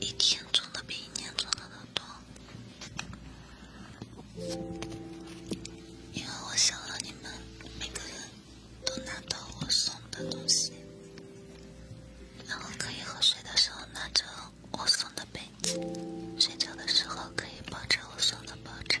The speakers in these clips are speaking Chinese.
一天赚的比一年赚的都多。因为我想让你们每个人都拿到我送的东西，然后可以喝水的时候拿着我送的杯子，睡觉的时候可以抱着我送的抱枕。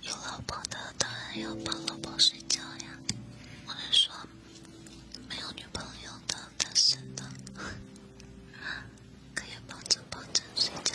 有老婆的当然要抱老婆睡觉呀，我是说，没有女朋友的单身的，可以抱着抱着睡觉。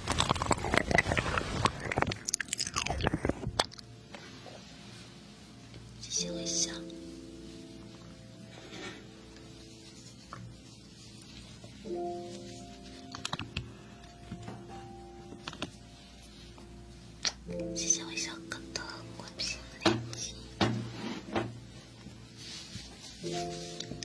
谢谢微笑谢谢我小哥的公平累积。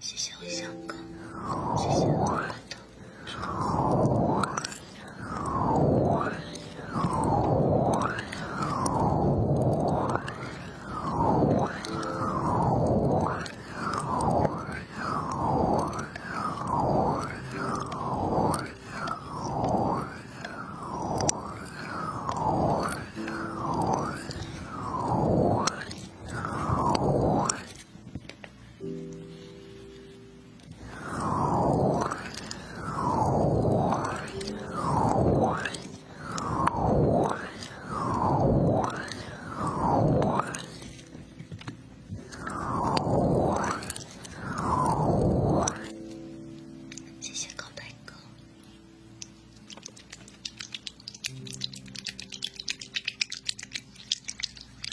谢谢我小哥，谢谢。谢谢高泰哥。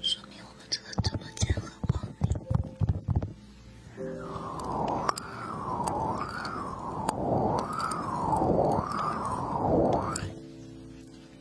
说明我们这个直播间很光明。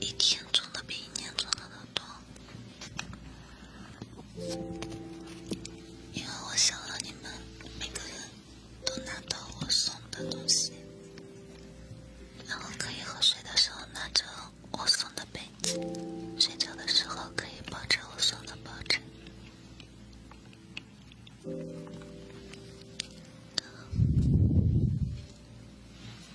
一天赚的比一年赚的都多。因为我想让你们每个人都拿到我送的东西，然后可以喝水的时候拿着我送的杯子，睡觉的时候可以抱着我送的抱枕。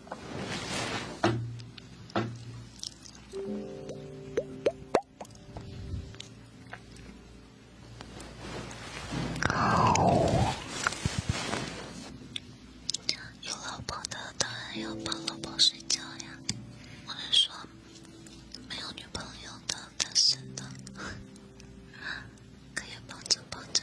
有老婆的当然要抱老婆睡觉呀，我是说，没有女朋友的单身的，可以抱着抱着。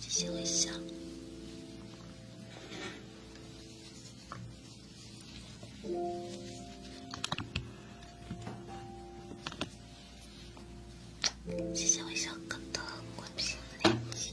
谢谢微笑谢谢我小哥的过屏链接。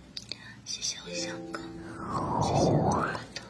谢谢我小哥，谢谢我大哥。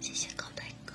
谢谢高泰哥。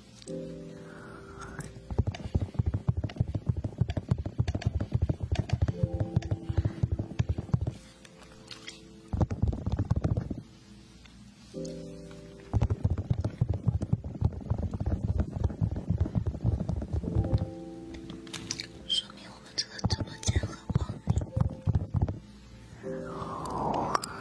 说明我们这个直播间很